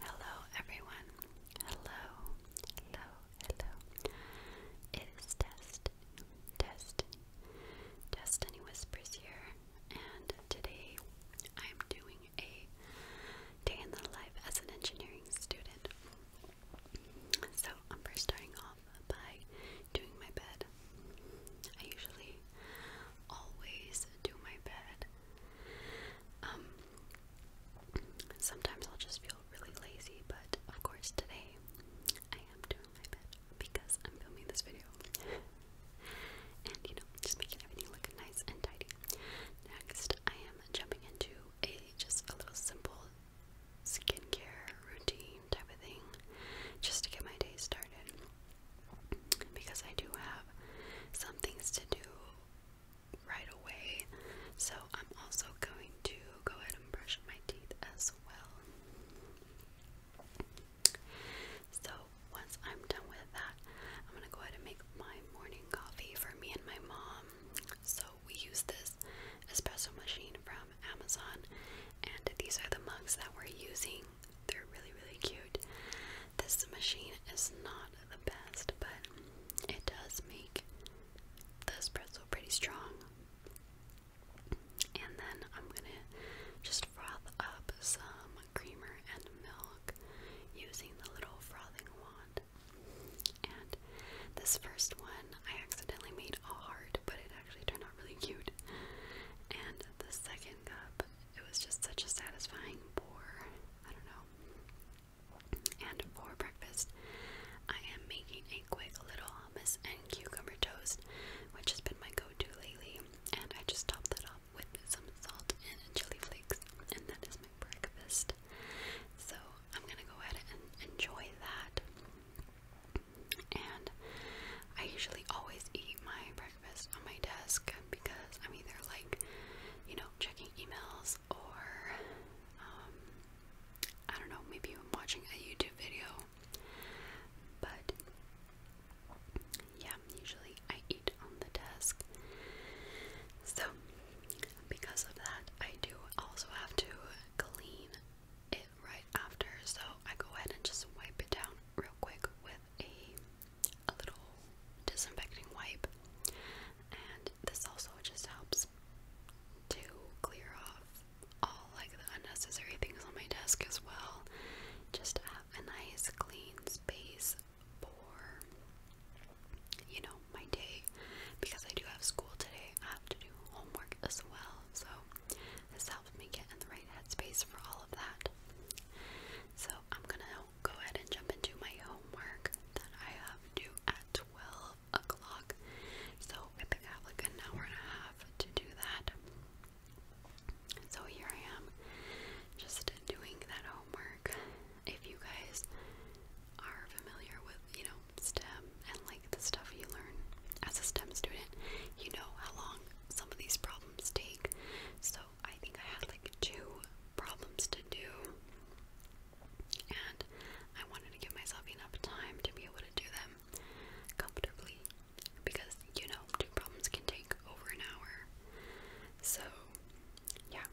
Hello, everyone. Hello, hello, hello. It is Destiny, Destiny, Destiny Whispers here, and today I'm doing a day in the life as an engineering student. So I'm first starting off by doing my bed. I usually always do my bed. Um, sometimes I'll just feel really lazy, but of course today I am doing my bed because I'm filming this video. and you know, just making everything look nice and tidy. Next, I am jumping into a just a little simple skincare routine type of thing just to get my day started because I do have some things to do right away. So I'm also going to go ahead and brush my teeth as well. So once I'm done with that, I'm gonna go ahead and make my morning coffee for me and my mom. So we use this espresso machine from Amazon, and these are the mugs that we're using. They're really, really cute. This machine is not the best, but it does make this pretzel pretty strong. And then I'm gonna just froth up some creamer and milk using the little frothing wand. And this first one, I accidentally made a heart, but it actually turned out really cute. And the second cup, it was just such a satisfying pour. I don't know. And for breakfast, I am making a quick little hummus and cucumber toast, which has been my go-to lately. And I just topped that off with some salt and chili flakes, and that is my breakfast. So I'm gonna go ahead and enjoy that and I usually always eat my breakfast on my desk because I'm either like, you know, checking emails or um, I don't know, maybe I'm watching a YouTube video. But yeah, usually I eat on the desk. So because of that, I do also have to clean it right after, so I go ahead and just wipe it down real quick with a, a little disinfecting wipe. And this also just helps to clear off all like the unnecessary things on my desk as well. Just to have a nice clean space for you know my day because I do have school today. I have to do homework as well. So this helps me get in the right headspace for all of that. So I'm gonna go ahead and jump into my homework that I have to do at 12 o'clock. So I have like an hour and a half to do that. So here I am, just doing that homework. If you guys are familiar with, you know, STEM and like the stuff you learn as a STEM student, you know how long some of these problems take. So I think I had like two problems to do, and I wanted to give myself enough time to be able to do them comfortably because you know, two problems can take over an hour. So, yeah,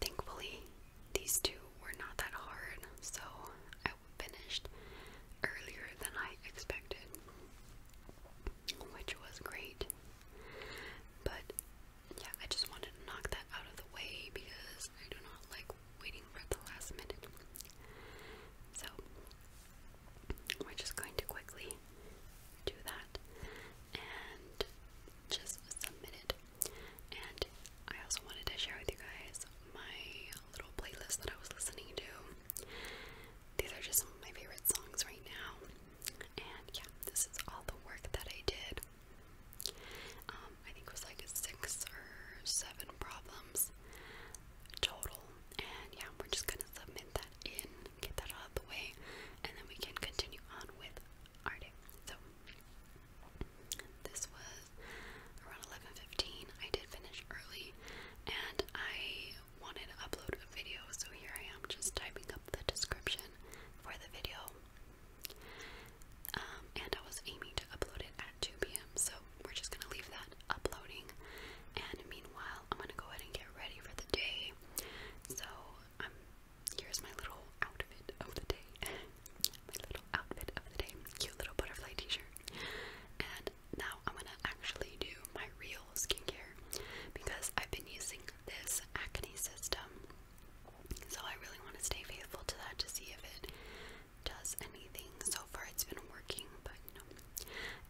thankfully, these two were not that hard, so I finished earlier than I expected, which was great. But yeah, I just wanted to knock that out of the way because I do not like waiting for the last minute. So we're just going to quickly do that and just submit it. And I also wanted to share with you guys my little playlist that I was listening to. These are just some of my favorite songs right now. And yeah, this is all the work that I did. Um, I think it was like six or seven problems total. And yeah, we're just gonna submit that in, get that out of the way, and then we can continue on with our day. So this was around 11:15 I did finish early and I wanted to upload a video, so here I am just typing up the description for the video. Um, and I was aiming to upload it at 2 p.m., so we're just gonna leave that uploading. And meanwhile, I'm gonna go ahead and get ready for the day. So, um, here's my little outfit of the day. my little outfit of the day, cute little butterfly t-shirt. And now I'm gonna actually do my real skincare because I've been using this acne system. So I really want to stay faithful to that to see if it does anything. So far it's been working, but you know.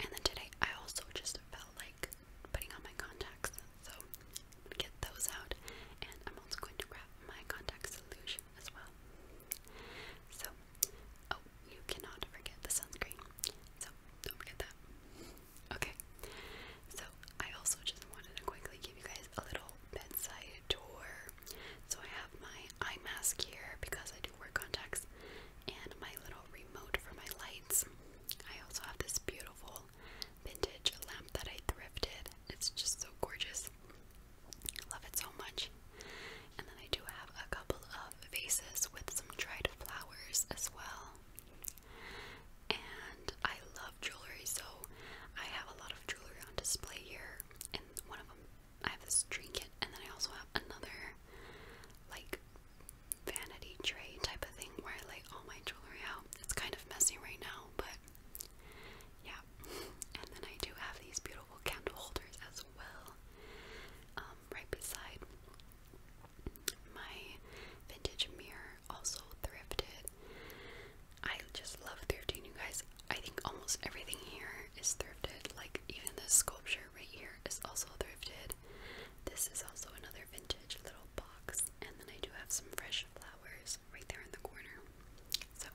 And then today I also just felt like putting on my contacts. So I'm gonna get those out and I'm also going to grab my contact solution as well. So Oh, you cannot forget the sunscreen. So, don't forget that. Okay. So, I also just wanted to quickly give you guys a little bedside tour. So, I have my eye mask here because I do wear contacts and my little remote for my lights. I also have this beautiful vintage lamp that I thrifted. It's just so gorgeous. Love it so much. And then I do have a couple of vases with some dried flowers as well. And I love jewelry, so I have a lot of jewelry on display here. And one of them, I have this trinket, and then I also have another, like, vanity tray type of thing where I lay all my jewelry out. It's kind of messy right now, but yeah, and then I do have these beautiful candle holders as well, um, right beside my vintage mirror, also thrifted. I just love thrifting, you guys. I think almost everything here is thrifted, like even this sculpture right here is also thrifted. This is also another vintage little box, and then I do have some fresh flowers right there in the corner. So,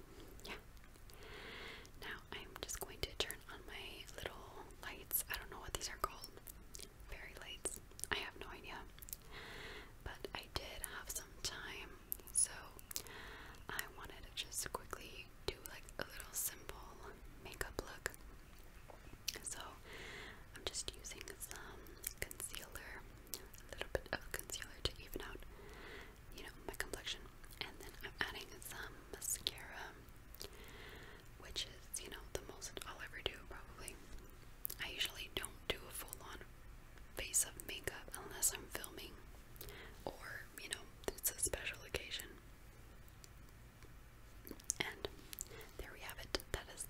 yeah, now I'm just going to turn on my little lights. I don't know what these are called. Fairy lights. I have no idea. But I did have some time, so I wanted to just quickly do like a little simple makeup look. So I'm just using some concealer, a little bit of concealer to even out you know, my complexion. And then I'm adding some mascara, which is, you know, the most I'll ever do probably. I usually don't do a full-on face of makeup unless I'm filming or, you know, it's a special occasion. And there we have it. That is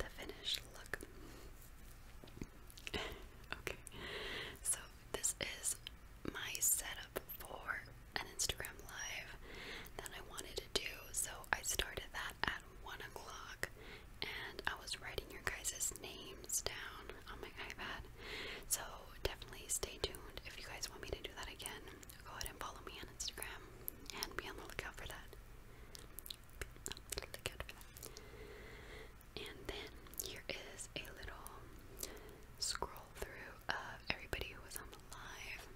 the finished look. okay, so this is my setup for an Instagram live that I wanted to do. So I started that at one o'clock and I was writing your guys' names down on my iPad. So definitely stay tuned. If you guys want me to do that again, go ahead and follow me on Instagram and be on the lookout for that. Be on the lookout for that. And then here is a little scroll through of everybody who was on the live.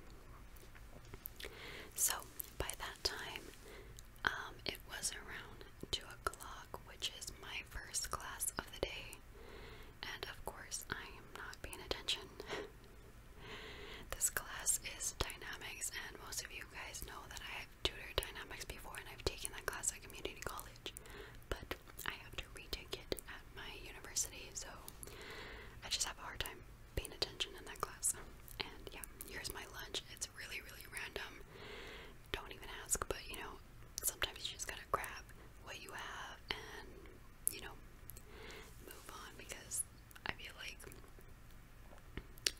So by that time, um, it was around 2 o'clock, which is my first class of the day. And of course, I am not paying attention. this class is dynamics, and most of you guys know that I I've tutored dynamics before and I've taken that class at community college, but I have to retake it at my university, so I just have a hard time paying attention in that class. And yeah, here's my lunch. It's really, really random. Don't even ask, but you know, sometimes you just gotta grab what you have and, you know, move on because I feel like,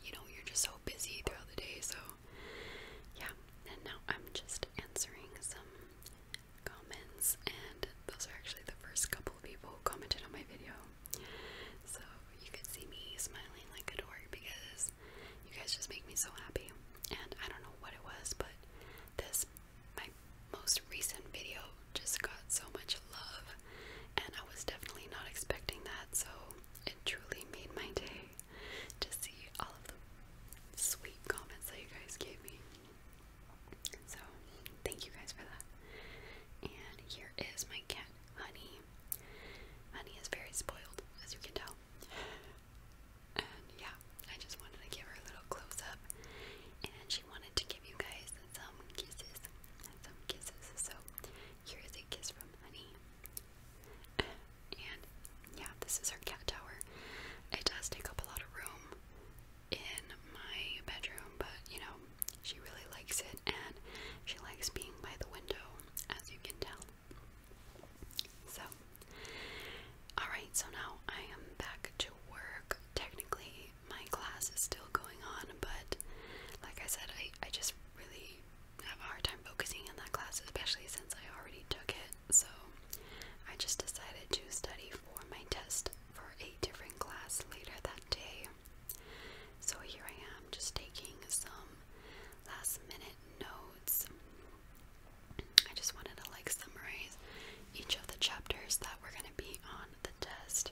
you know, you're just so busy throughout the day, so yeah, and now I'm just answering some comments, and those are actually the first couple of people who commented on my video. So you can see me smiling like a dork because you guys just make me so happy. And I don't know what it was, but this, my most recent video, just got so much love, and I was definitely not expecting that, so it truly made my day to see all of the sweet comments that you guys gave me. So, thank you guys for that. And here is my cat, Honey. Honey is very spoiled, as you can tell. And yeah, I just wanted to give her a little close up. And she wanted to give you guys some kisses. Some kisses. So, Here's a kiss from honey. And yeah, this is our cat tower. It does take up a lot of room in my bedroom, but you know, she really likes it and she likes being by the window, as you can tell. So, alright, so now I am back to work. Technically, my class is still going on, but like I said, I, I just really I have a hard time focusing in that class, especially since I already took it. So I just decided to study for my test for a different class later that day. So here I am, just taking some last minute notes. I just wanted to like summarize each of the chapters that we're going to be on the test.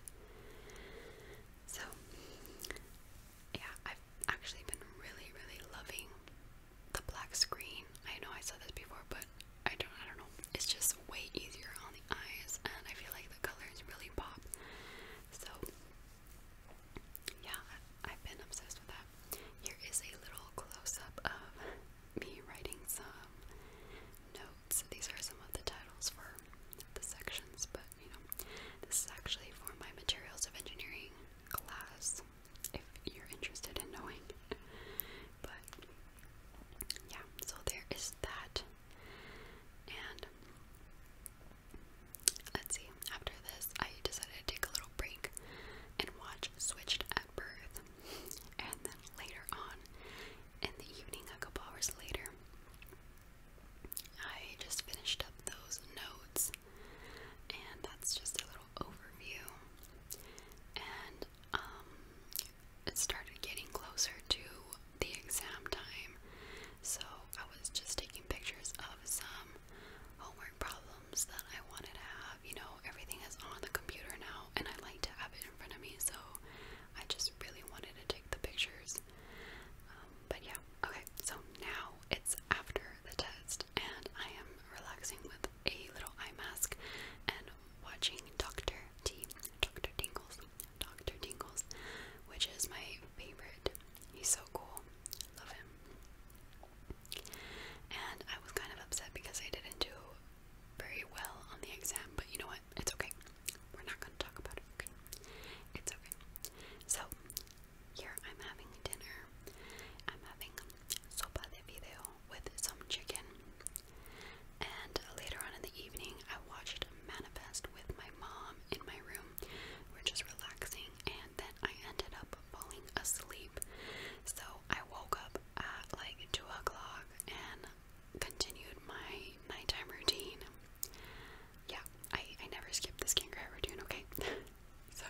So yeah, I've actually been really, really loving the black screen. I know I said this before, but I don't, I don't know. It's just way easier on the eyes, and I feel like the colors really pop. So, yeah, I've been obsessed with that. Here is a little close-up of me writing some notes. These are some of the titles for the sections, but you know, this is actually for my materials of engineering class if you're interested in knowing. but yeah, so there is that. And let's see, after this, I decided to take a little break and watch Switched at Birth. And then later on in the evening, a couple hours later, I just finished up those notes, and that's just a little overview. And um, it started getting closer to the exam time, so I was just taking pictures of some homework problems that I wanted to have. You know, everything is on the computer now, and I like to have it in front of me, so I just really wanted to take the pictures. Um, but yeah, okay, so now it's after the test, and I am relaxing with a little eye mask and watching Dr. T, Dr. Dingles, Dr. Dingles, which is my favorite. He's so cool, love him. And I was kind of upset because I didn't do very well on the exam, but you know what? It's okay. We're not going to talk about it, okay? It's okay. So, here I'm having dinner. I'm having sopa de video with some chicken. And later on in the evening, I watched Manifest with my mom in my room. We're just relaxing, and then I ended up falling asleep. So I woke up at like 2 o'clock and continued my nighttime routine yeah, I, I never skip this skincare routine, okay? so,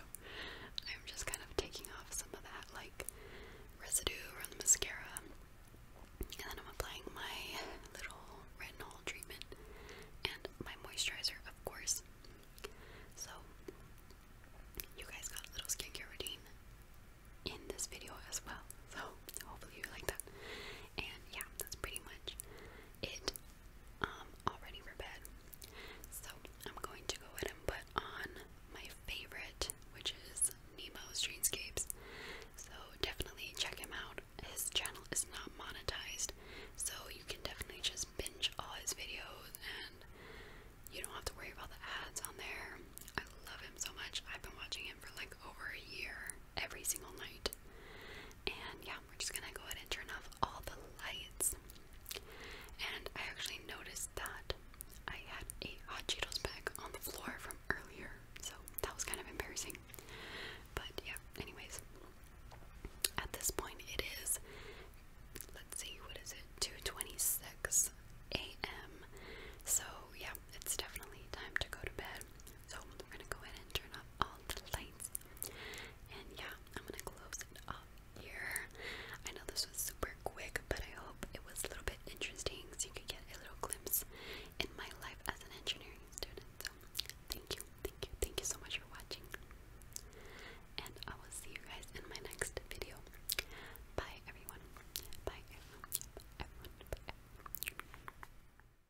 I'm just kind of taking off some of that, like, residue from the mascara. And then I'm applying my little retinol treatment and my moisturizer, of course. So, you guys got a little skincare routine in this video as well. So, hopefully you like that. And yeah, that's pretty much it um, all ready for bed. So I'm going to go ahead and put on my favorite, which is Nemo's Dreamscapes. So definitely check him out. His channel is not monetized, so you can definitely just binge all his videos and you don't have to worry about the ads on there. I love him so much. I've been watching him for like over a year every single night. And yeah, we're just gonna go ahead and turn off all the lights. And I actually noticed that I had a hot Cheetos bag on the floor from earlier, so that was kind of embarrassing. But yeah, anyways, at this point it is let's see, what is it? 2:26 a.m. So yeah, it's definitely time to go to bed. So we're gonna go ahead and turn off all the lights. And yeah, I'm gonna close it up here. I know this was super quick, but I hope it was a little bit interesting so you could get a little glimpse in my life as an engineering student. So thank you, thank you, thank you so much for watching. And I will see you guys in my next video. Bye everyone. Bye everyone. Bye